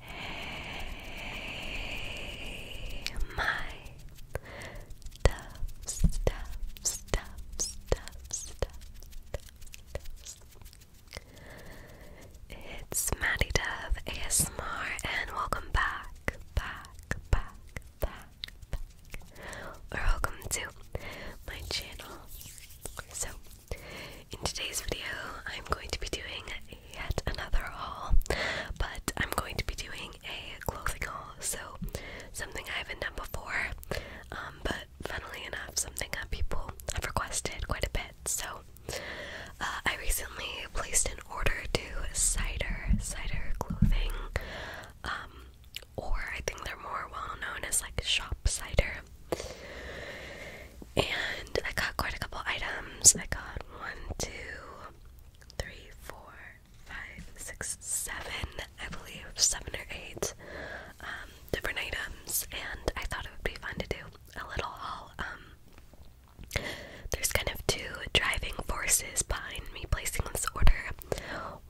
Hey, my tough stuff, stuff, stuff, stuff, It's Maddie Dove ASMR, and welcome back, back, back, back, welcome to my channel. So, in today's video, I'm going to be doing yet another haul, but I'm going to be doing a clothing haul, so something I haven't done before, um, but funnily enough, something that people have requested quite a bit. So uh, I recently placed an order to Cider, Cider Clothing, um, or I think they're more well known as like Shop Cider. And I got quite a couple items. I got one, two, three, four, five, six, seven, I believe, seven or eight um, different items. And I thought it would be fun to do a little haul. Um, there's kind of two driving forces behind me placing this order.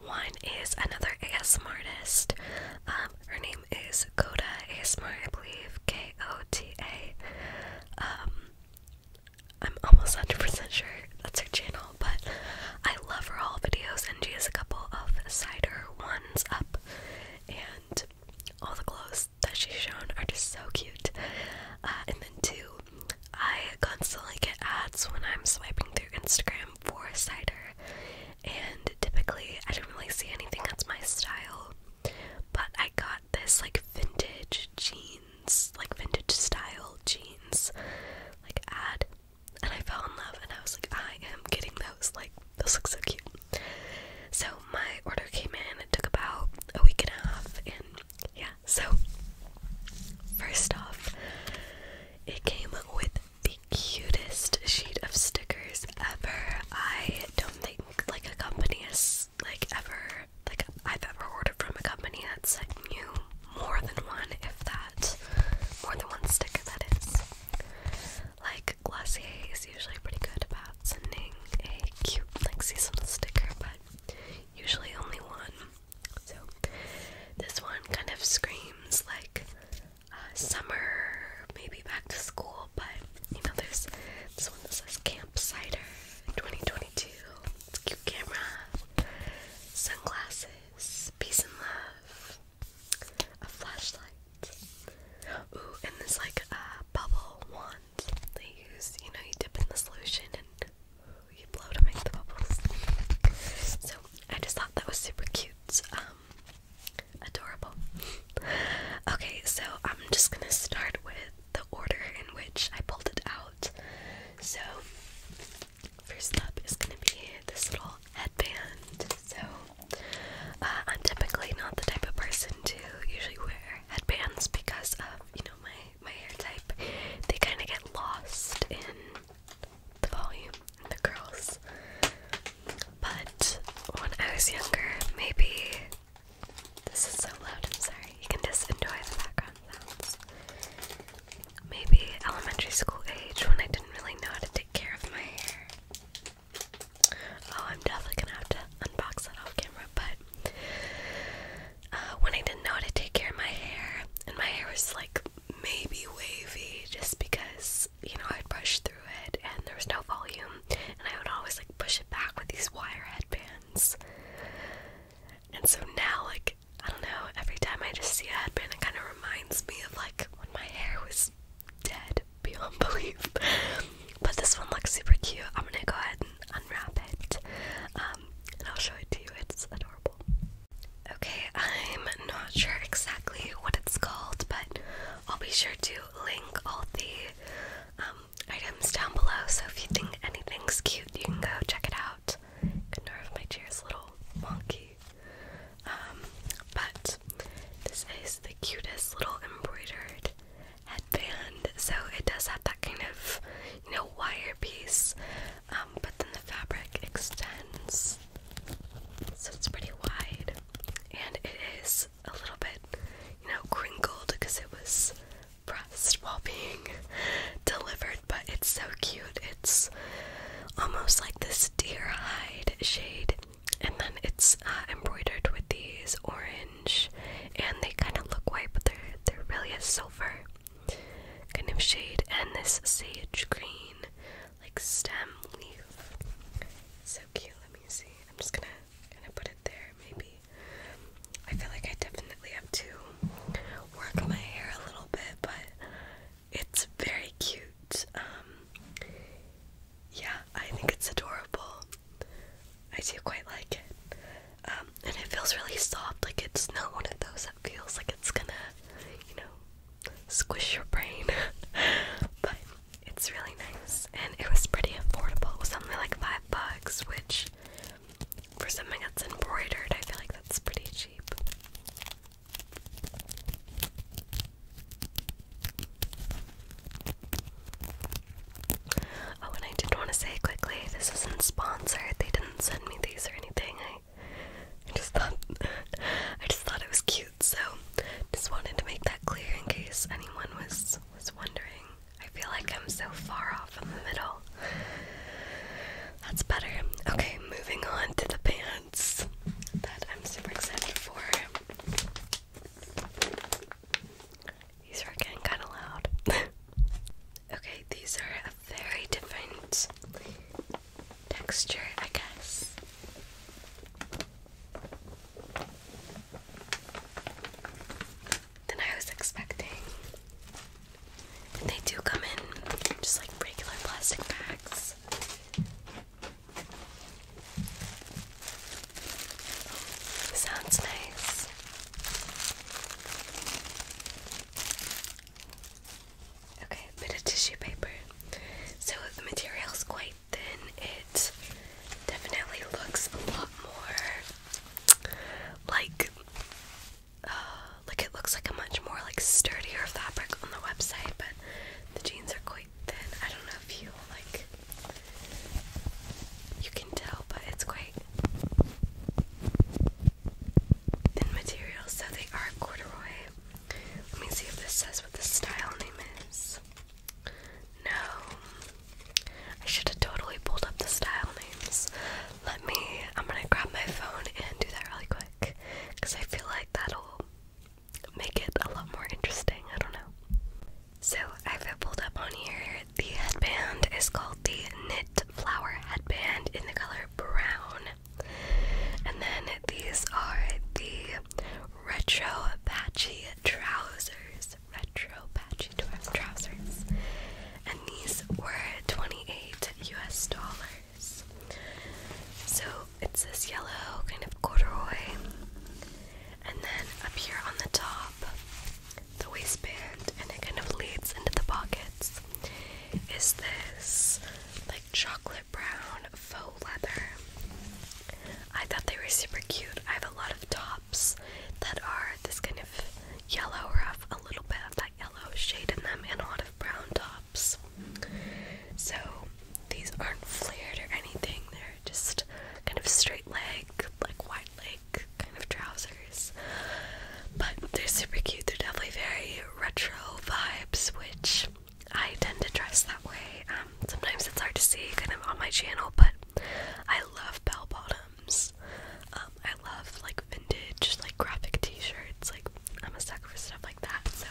One is another ASMR artist. Um, her name is Koda ASMR, I believe. K O am um, almost 100% sure that's her channel, but I love her all videos, and she has a couple of cider ones up, and all the clothes that she's shown are just so cute. Uh, and then, two, I constantly get ads when I'm swiping through Instagram time cider, and typically I didn't really see anything that's my style. But I got this like vintage jeans, like vintage style jeans, like ad, and I fell in love, and I was like, I am getting those. Like those look so cute. So my order came in. It took about a week and a half, and yeah. So first off, it came with the cutest sheet of stickers ever. I don't think like a company has like ever like I've ever ordered from a company that sent you more than one, if that, more than one sticker that is. Like Glossy is usually pretty good about sending a cute like seasonal sticker, but usually only one. So this one kind of screams like summer, maybe back to school, but you know, there's this one that says Camp Cider 2022. cute camera, sunglasses, peace and love, a flashlight. Ooh, and this like a bubble wand they use. You know, you dip in the solution and you blow to make the bubbles. So I just thought that was super cute. Um, adorable. okay, so I'm just gonna start with the order in which I pulled it out. So, first up is gonna be this little headband. So, uh, I'm typically not the type of person to usually wear headbands because of you know my my hair type. They kind of get lost in the volume the girls. But when I was younger, maybe this is so loud, sorry. You can just enjoy the background sounds. Maybe elementary school age when I didn't really know how to take care of my hair. Oh, I'm definitely gonna have to unbox that off camera, but uh, when I didn't know how to take care of my hair, and my hair was like maybe wavy just because you know I'd brush through it and there was no volume, and I would always like push it back with these wire headbands. And so now, like I don't know, every time I just see a headband, it kind of reminds me of like when my hair was dead beyond belief. but this one looks super cute. I'm gonna go ahead and unwrap it, um, and I'll show it to you. It's adorable. Okay, I'm not sure exactly what it's called, but I'll be sure to link all the um, items down below. So if you think anything's cute, you can go check it out. Good my chair's little wonky. Um, but this is the cutest little embroidered headband. So it does have that kind of, you know, wire piece. Um, but then the fabric extends so it's pretty wide. And it is a little bit, you know, crinkled because it was pressed while being delivered, but it's so cute. It's almost like this deer hide shade. And then it's uh, embroidered with these orange, and they kind of look white, but they're, they're really a silver kind of shade. And this sage green, like stem leaf so Let me see. I'm just gonna kind of put it there, maybe. I feel like I definitely have to work my hair a little bit, but it's very cute. Um, yeah, I think it's adorable. I do quite like it. Um, and it feels really soft. Like it's not one of those that feels like it's gonna, you know, squish your brain. but it's really nice and it was pretty affordable. It was only like five bucks, which for something that's embroidered, I feel like that's pretty cheap. Oh, and I did want to say quickly, this isn't sponsored. They didn't send me these or anything. I just thought, I just thought it was cute so just wanted to make that clear in case anyone was was wondering. I feel like I'm so far off in the middle. That's better. Okay, moving on to the pants that I'm super excited for. These are getting kind of loud. okay, these are a very different texture, I guess than I was expecting. they do come in just like regular plastic bags. Sounds nice. Okay, bit of tissue paper. So the material is quite then it definitely looks a lot more like uh, it looks like a much more like sturdier fabric on the website, but the jeans are quite thin. I don't know if you like you can tell, but it's quite thin material, so they are corduroy. Let me see if this says what the style name is. No. I should have totally pulled up the style names. Let me, I'm gonna grab my phone and do that really quick. Because I feel like that'll make it a lot more interesting. I don't know. So I've pulled up on here. The headband is called the Knit Flower Headband in the color brown. And then these are the retro patchy trousers. Retro patchy trousers. And these were 28 US dollars. So it's this yellow kind of corduroy. And then up here on the top, the waistband, and it kind of leads into the pockets, is this like chocolate brown faux leather. I thought they were super cute. I have a lot of tops that are this kind of yellow or have a little bit of that yellow shade in them and a lot of brown tops. So these aren't flared or anything, they're just kind of straight leg, like wide leg kind of trousers. But they're super cute, they're definitely very retro vibes, which I tend to dress that way. Um, sometimes it's hard to see kind of on my channel, but I love bell bottoms. Um, I love like vintage, like graphic t-shirts. Like I'm a sucker for stuff like that. So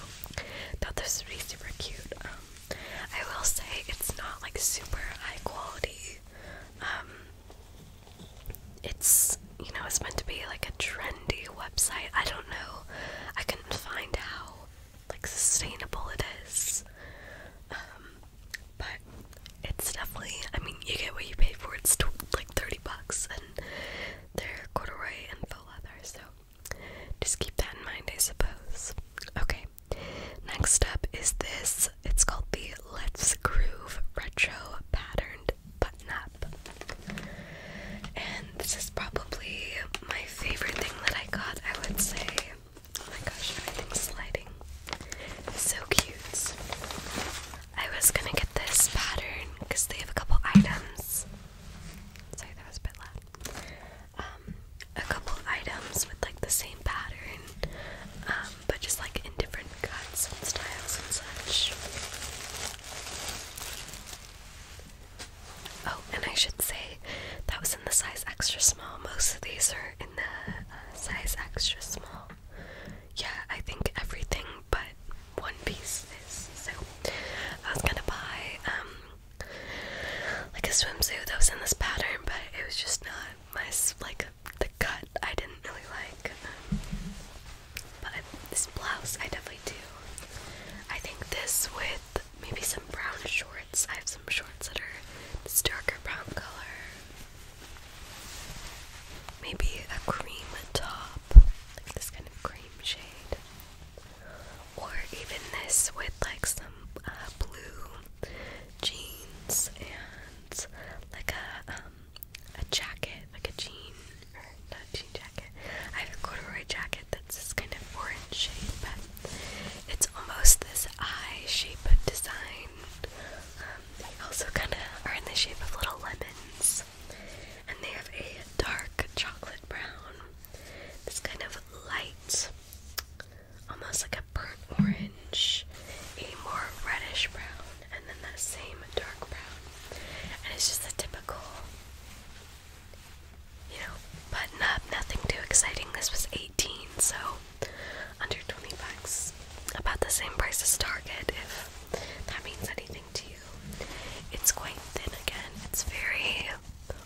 thought this would be super cute. Um, I will say it's not like super high quality. it's you know it's meant to be like a trendy website. I don't know. I couldn't find how like sustainable it is. Um, but it's definitely, I mean, you get what you pay for. It's like 30 bucks and they're corduroy and full leather, so just keep that in mind, I suppose. Okay, next up is this. It's called the Let's Groove Retro Patterned Button Up. And this is probably my favorite thing that I got, I would say. Oh my gosh, everything's sliding. So cute. I was gonna get this pattern because they have a couple items. Sorry, that was a bit loud. Um, a couple items with like the same pattern, um, but just like in different cuts and styles and such. Oh, and I should say that was in the size extra small. Most of these are in the uh, size extra small. Yeah, I think everything but one piece is. So I was gonna buy um like a swimsuit that was in this pattern, but it was just not my like the cut I didn't really like. but this blouse I definitely do. I think this with maybe some brown shorts I have some shorts that are this darker brown color. Maybe a cream top, like this kind of cream shade. Or even this with like some uh, blue jeans and like a um, a jacket, like a jean or not jean jacket. I have a corduroy jacket that's this kind of orange shape. It's almost this eye shape design. Um, they also kind of are in the shape of little lemons. And they have a dark chocolate brown, this kind of light, almost like a burnt orange, a more reddish brown, and then that same dark brown. And it's just a typical you know, button up, nothing too exciting. This was 18, so under 20 bucks. About the same price as Target, if that means anything to you. It's quite thin again. It's very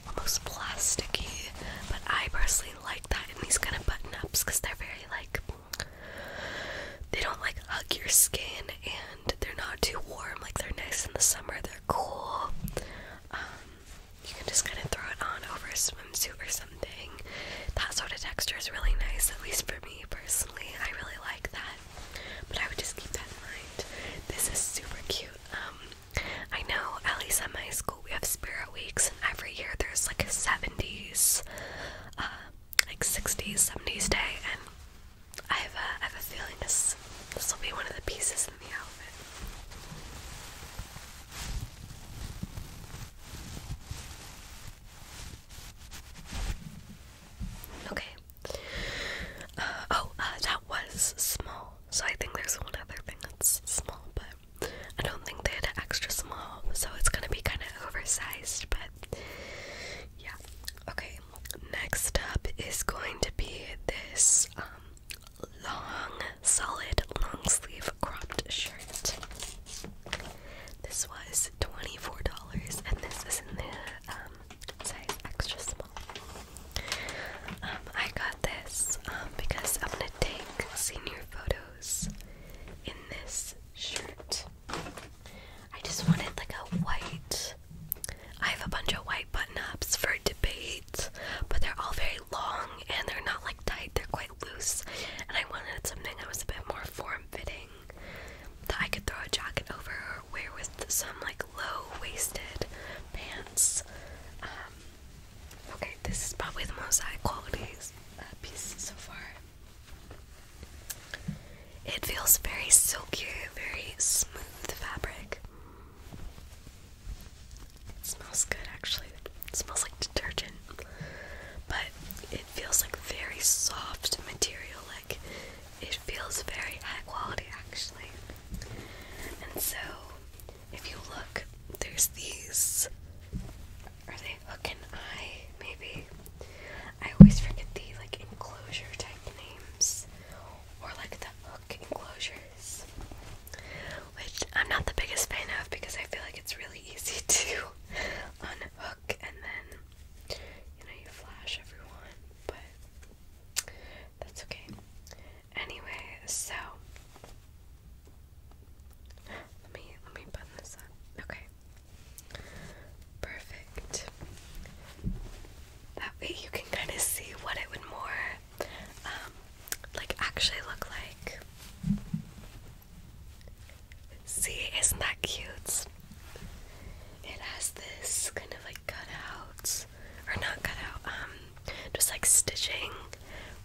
almost plasticky, but I personally like that in these kind of button ups because they're very like they don't like hug your skin and they're not too warm. Like they're nice in the summer. They're cool. Um, you can just kind of throw it on over a swimsuit or something. That sort of texture is really nice, at least for me personally. I really like that. But I would just keep that in mind. This is super cute. Um, I know at least at my school we have spirit weeks, every year there's like a 70s, uh, like 60s, 70s day, and I have a, I have a feeling this this will be one of the pieces Okay. Uh, oh, uh, that was small. So I think there's one other thing that's small, but I don't think they had an extra small, so it's gonna be kind of oversized. But yeah. Okay. Next up is going to be this um, long, solid, long sleeve cropped shirt. This was $24, and this is in the um, size extra small. Um, I got this um, because I'm gonna take senior photos in this shirt. I just wanted like a white. I have a bunch of white button ups for debate, but they're all very long and they're not like tight, they're quite loose. And I wanted something that was a bit more form fitting that I could throw a jacket over or wear with some like low waisted pants. Um, okay, this is probably the most high quality uh, piece so far. It feels very silky, very smooth fabric. It smells good actually. It smells like detergent. But it feels like very soft material, like it feels very high quality actually. And so if you look, there's these are they hook and eye, maybe? I always forget the like enclosure type names. Or like the hook enclosure which I'm not the biggest fan of because I feel like it's really easy to unhook and then you know you flash everyone, but that's okay. Anyway, so let me let me button this up. Okay. Perfect. That way you can kind of see what it would more um, like actually look like. See, isn't that cute? It has this kind of like cutouts, or not cutout, um, just like stitching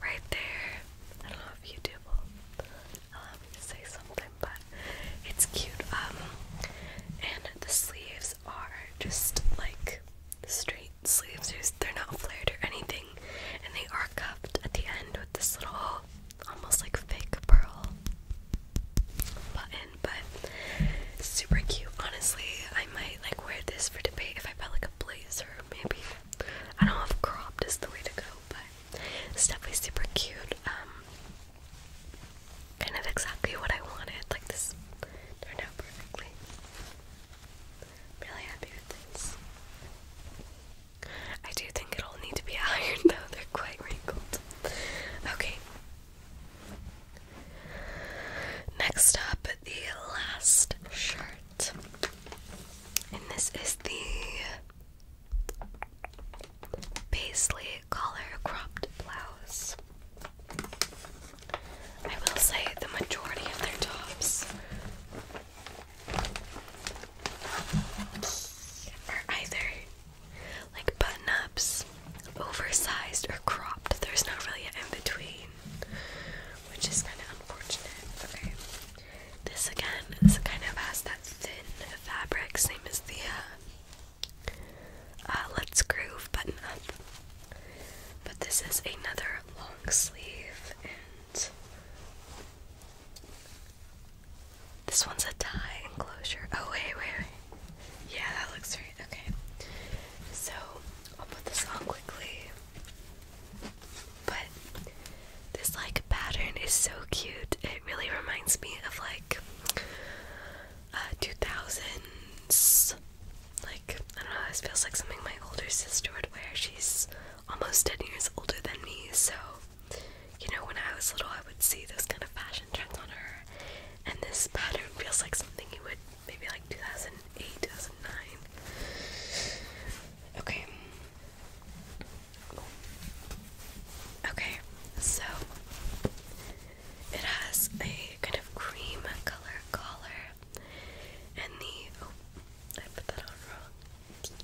right there. I don't know if you do. allow me to say something, but it's cute. Um, and the sleeves are just like straight sleeves. They're not flared or anything, and they are cuffed at the end with this little, almost like fake pearl button. But super cute. Honestly, I might like wear this for debate if I felt like a blazer, maybe. I don't know if cropped is the way to go, but definitely super cute. Um, kind of exactly what I wanted. Like this turned out perfectly i really happy with this. I do think it'll need to be ironed though, they're quite wrinkled. Okay. Next up, the last shirt. And this is the paisley collar cropped blouse. I will say the majority of their tops are either like button ups, oversized, or cropped. There's not really an in between, which is kind of unfortunate. Okay, this again is kind of has that thin fabric, same as the uh, uh Let's Groove button up. But this is another long sleeve, this one's a tie enclosure. Oh, wait, wait, wait. Yeah, that looks great. Okay. So, I'll put this on quickly. But this like pattern is so cute. It really reminds me of like uh 2000s. Like, I don't know, this feels like something my older sister would wear. She's almost 10 years older than me, so you know, when I was little, I would see those kind of fashion trends on her, and this pattern feels like something you would maybe like 2008, 2009. Okay. Okay, so it has a kind of cream color collar and the oh, I put that on wrong.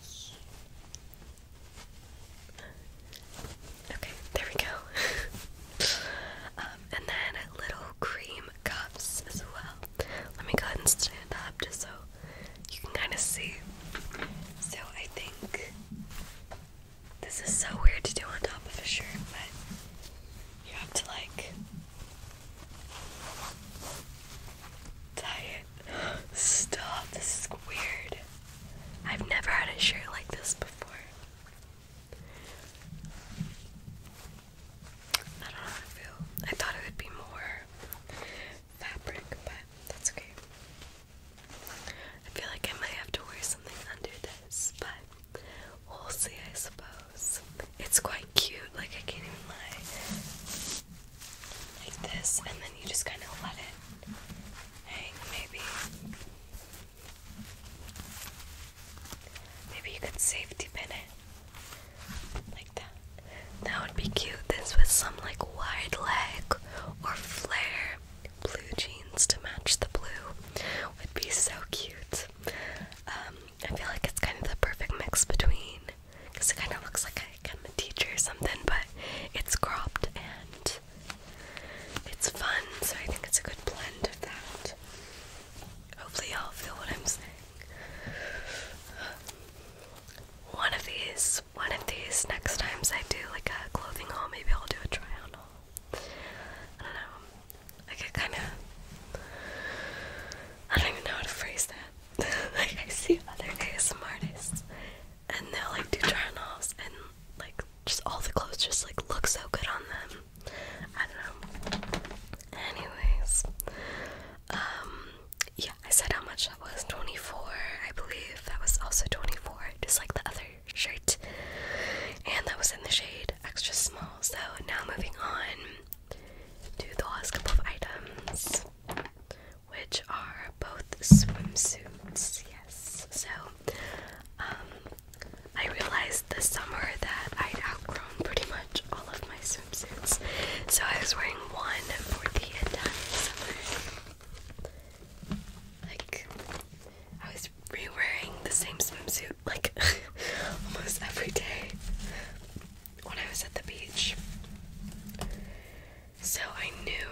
Okay, there we go. Um, and then little cream cups as well. Let me go ahead and stand up just so you can kind of see. So I think this is so weird to do on top of a shirt, but you have to like Diet. Stop. This is weird. I've never had a shirt like this before. I don't know how I feel. I thought it would be more fabric, but that's okay. I feel like I might have to wear something under this, but we'll see, I suppose. It's quite cute, like I can't even lie. Like this, and then you just kind of let it hang, maybe. Maybe you could safety pin it. Like that. That would be cute. This with some like wide leg or flare blue jeans to match the blue would be so cute. Um, I feel like it's kind of the perfect mix between because it kind of looks like I, am a teacher or something, but it's cropped and it's fun, so I think it's a good blend of that. Hopefully, y'all feel what I'm saying. One of these, one of these next times I do like a clothing haul, maybe I'll do a try on haul. I don't know. Like I kind of, I don't even know how to phrase that. like I see other ASM artists and they'll like do try on and like just all the clothes just like look so good on them. I don't know. Anyways, um, yeah, I said how much that was, 24, I believe. That was also 24, just like the other shirt. And that was in the shade extra small. So now moving on to the last couple of items which are both swimsuits. Yes. So, um, I realized this summer that I'd outgrown pretty much all of my swimsuits. So I was wearing one for the entire summer. Like, I was re-wearing the same swimsuit like almost every day when I was at the beach. So I knew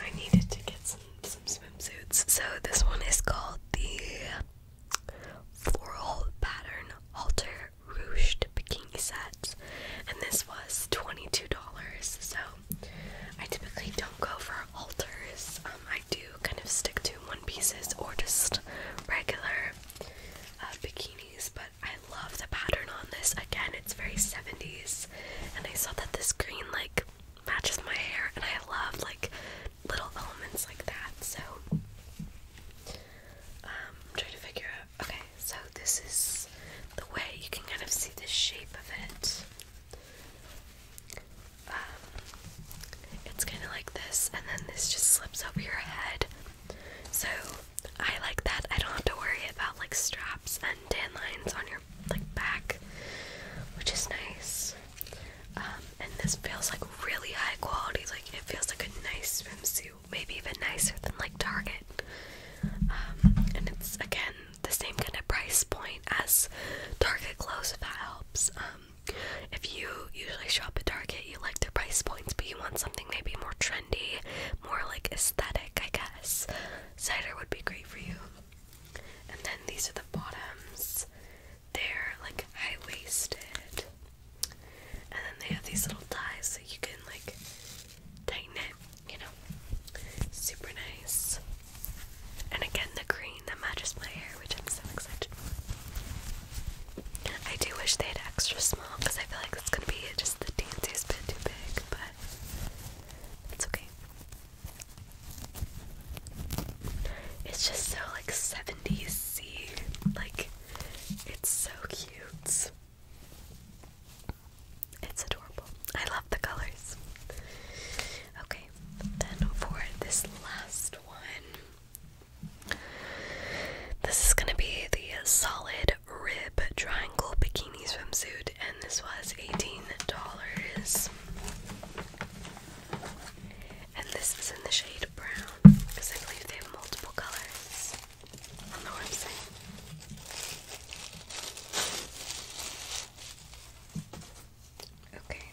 I needed to get some some swimsuits. So this one is called the floral pattern halter ruched bikini set, and this was twenty two dollars. So I typically don't go for alters. Um, I do kind of stick to one pieces or just regular uh, bikinis, but. I love the pattern on this. Again, it's very 70s, and I saw that this green like matches my hair, and I love like little elements like that. So um, I'm trying to figure out. Okay, so this is the way you can kind of see the shape of it. Um, it's kind of like this, and then this just slips over your head. So I like that I don't have to worry about like straps and tan lines on your like back, which is nice. Um, and this feels like really high quality. Like it feels like a nice swimsuit, maybe even nicer than like Target. Um, and it's again the same kind of price point as Target clothes, if that helps. Um, if you usually shop at Target, you like their price points, but you want something maybe more trendy more like aesthetic, I guess. Cider would be great for you. And then these are the bottoms. They're like high waisted. And then they have these little ties so you can like tighten it, you know. Super nice. And again, the green that matches my hair, which I'm so excited for. I do wish they had extra because I feel like it's gonna be just the daintiest bit too big, but it's okay. It's just so like seventy C. Like it's so cute. It's adorable. I love the colors. Okay, then for this last one. This is going to be the solid rib triangle bikini swimsuit, and this was $18. And this is in the shade brown because I believe they have multiple colors on the website. Okay.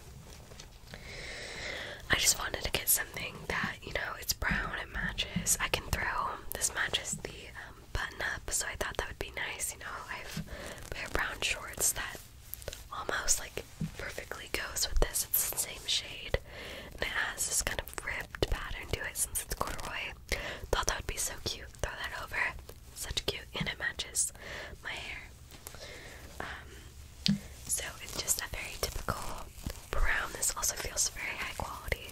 I just wanted to get something that you know, it's brown, it matches. I can throw, this matches the um, button up, so I thought that would be nice. You know, I have pair brown shorts that almost like perfectly goes with this. It's the same shade, and it has this kind of ripped pattern to it since it's corduroy. Thought that would be so cute. Throw that over. Such cute, and it matches my hair. Um, so it's just a very typical brown. This also feels very high quality.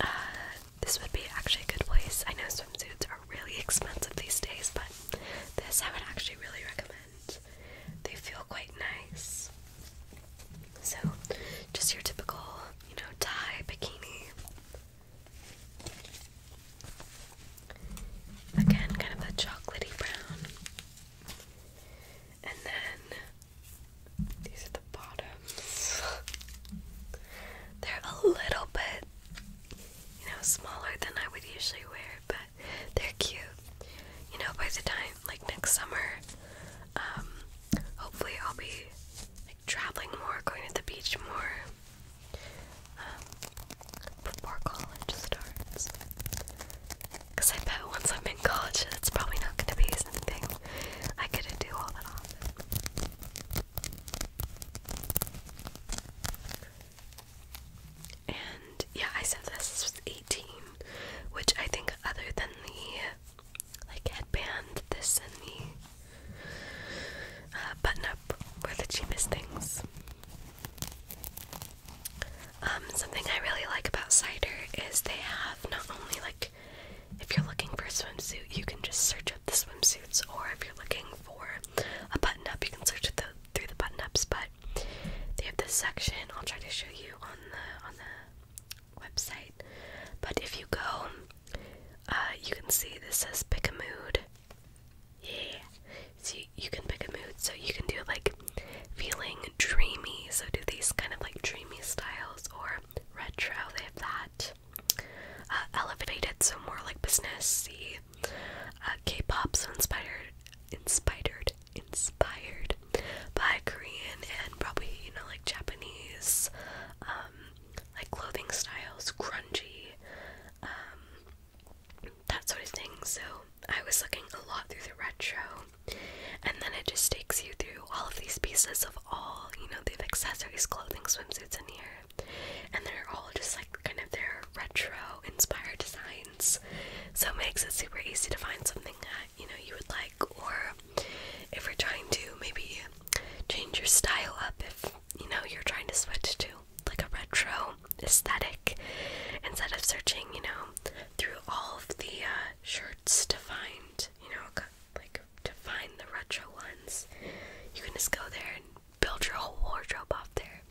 Uh, this would be actually a good place. I know swimsuits are really expensive these days, but this I would actually really recommend. They feel quite nice. So, just your typical, you know, tie bikini. Again, kind of a chocolatey brown. And then these are the bottoms. They're a little bit, you know, smaller than I would usually wear, but they're cute. You know, by the time, like next summer, um, hopefully I'll be like traveling more, going to the beach more before um, college starts. Because I bet once I'm in college, it's probably not going to be something I couldn't do all that often. And yeah, I said this is 18, which I think other than the like headband, this and the uh, button up were the cheapest things. Um, something I really like about cider is they have not only like if you're looking for a swimsuit, you can just search up the swimsuits, or if you're looking for a button up, you can search through the button ups. But they have this section. I'll try to show you on the on the website. But if you go, uh, you can see this says pick a mood. Yeah, so you can pick a mood. So you can do like feeling dreamy. So do these kind of like dreamy styles or retro, they have that. Uh, elevated, so more like business. Uh, K-pop, so inspired, inspired, inspired by Korean and probably you know like Japanese, um, like clothing styles, grungy, um, that sort of thing. So I was looking a lot through the retro, and then it just takes you through all of these pieces of all you know they've accessories clothing swimsuits in here and they're all just like kind of their retro inspired designs so it makes it super easy to find something that you know you would like or if you're trying to maybe change your style up if you know you're trying to switch to like a retro aesthetic instead of searching you know through all of the uh, shirts to find you know like to find the retro ones. You can just go there and build your whole wardrobe off there.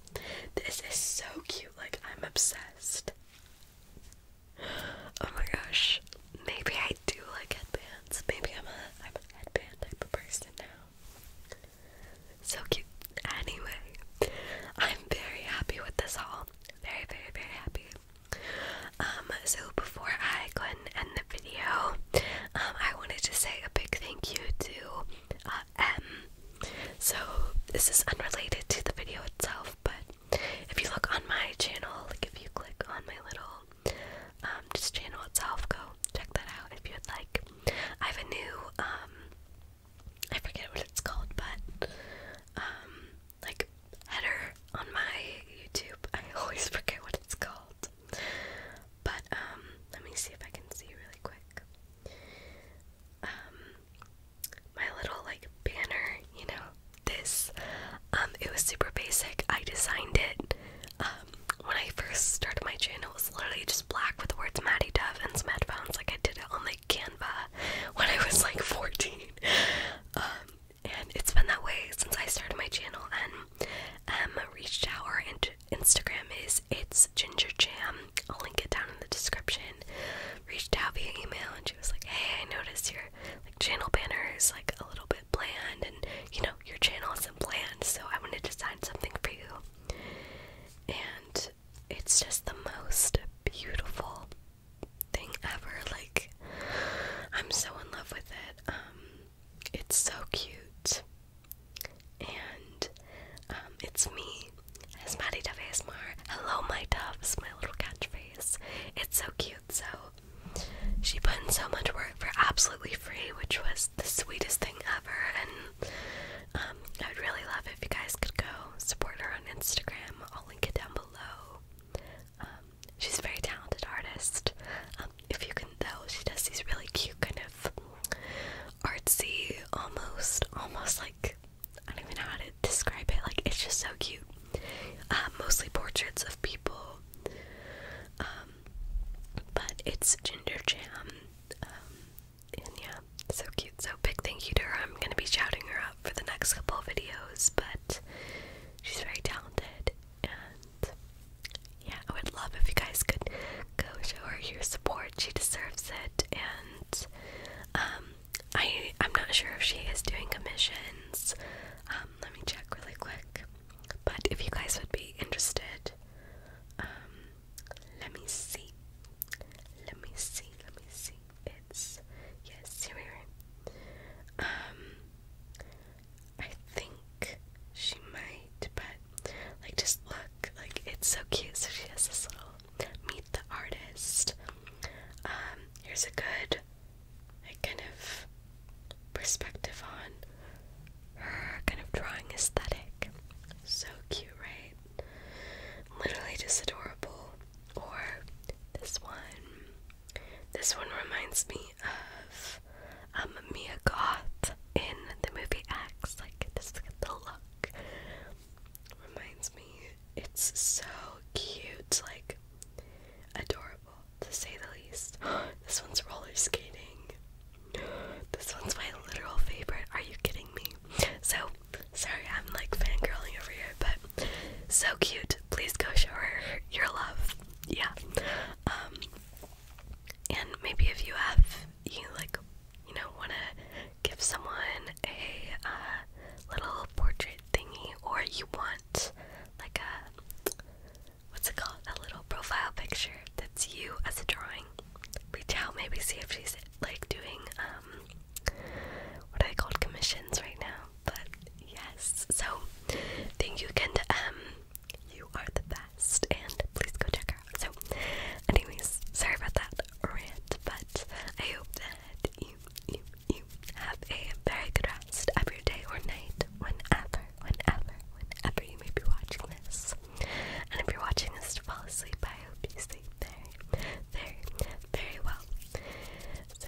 This is so cute, like I'm obsessed. Oh my gosh. Maybe I do like headbands. Maybe I'm a I'm a headband type person now. So cute. Anyway, I'm very happy with this haul. Very, very, very happy. Um, so before I go and end the video, um, I wanted to say a big thank you to uh, M. So this is unrelated to the video itself, but if you look on my channel, like if you click on my little um, just channel itself, go check that out if you'd like. I have a new I forget what it's called, but like header on my YouTube. I always forget what it's called. But um, let me see if I can see really quick. Um my little like banner, you know, this. Um it was super basic. I designed it. Um, when I first started my channel it was literally just black with the words Maddie Dove and some headphones. Like I did it on like Canva when I was like 14. Um and it's been that way since I started my channel and um, reached out our Instagram is it's ginger jam. I'll link it down in the description. Reached out via email and she was like, Hey, I noticed your like channel banner is like a little bit bland and you know, your channel isn't bland, so I wanted to design something for you. And it's just the most beautiful thing ever. Like I'm so in love with it." Um, it's so cute. And um, it's me. It's Maddie Hello, my doves, my little catchphrase. It's so cute. So she put in so much work for absolutely free, which was the sweetest thing ever. And um, I would really love if you guys could go support her on Instagram. I'll link it down below. Um, she's a very talented artist. Um, if you can tell, she does these really cute kind of artsy, almost, almost like I don't even know how to describe it. Like it's just so cute. Um, mostly portraits of people. but it's Ginger Jam. and yeah, so cute. So big thank you to her. I'm gonna be shouting her out for the next couple of videos, but she's very talented and yeah, I would love if you guys could go show her your support. She deserves it, and um, I I'm not sure if she is doing commissions. Um, let me check really quick. But if you guys would be interested, um, let me see. Let me see. Let me see. It's yes, here we are. I think she might, but like just look, like it's so cute. So she has this little meet the artist. Um, here's a good kind of perspective on her kind of drawing aesthetic. So cute, right? Literally just adorable. Or this one. This one reminds me of um, Mia Goth in the movie X. Like, just look at the look. Reminds me. It's so cute. Like, adorable, to say the least. this one's roller skating. This one's my literal favorite. Are you kidding me? So, sorry, I'm like fangirling over here, but so cute. Please go show her your love yeah. Um, and maybe if you have, you like, you know, want to give someone a uh, little portrait thingy, or you want like a what's it called? A little profile picture that's you as a drawing. Reach out, maybe see if she's like doing um, what are they called commissions right now? But yes, so think you can. um you are the best, and please go check her out. So, anyways, sorry about that rant, but I hope that you, you, you have a very good rest of your day or night, whenever, whenever, whenever you may be watching this. And if you're watching this to fall asleep, I hope you sleep very, very, very well. So,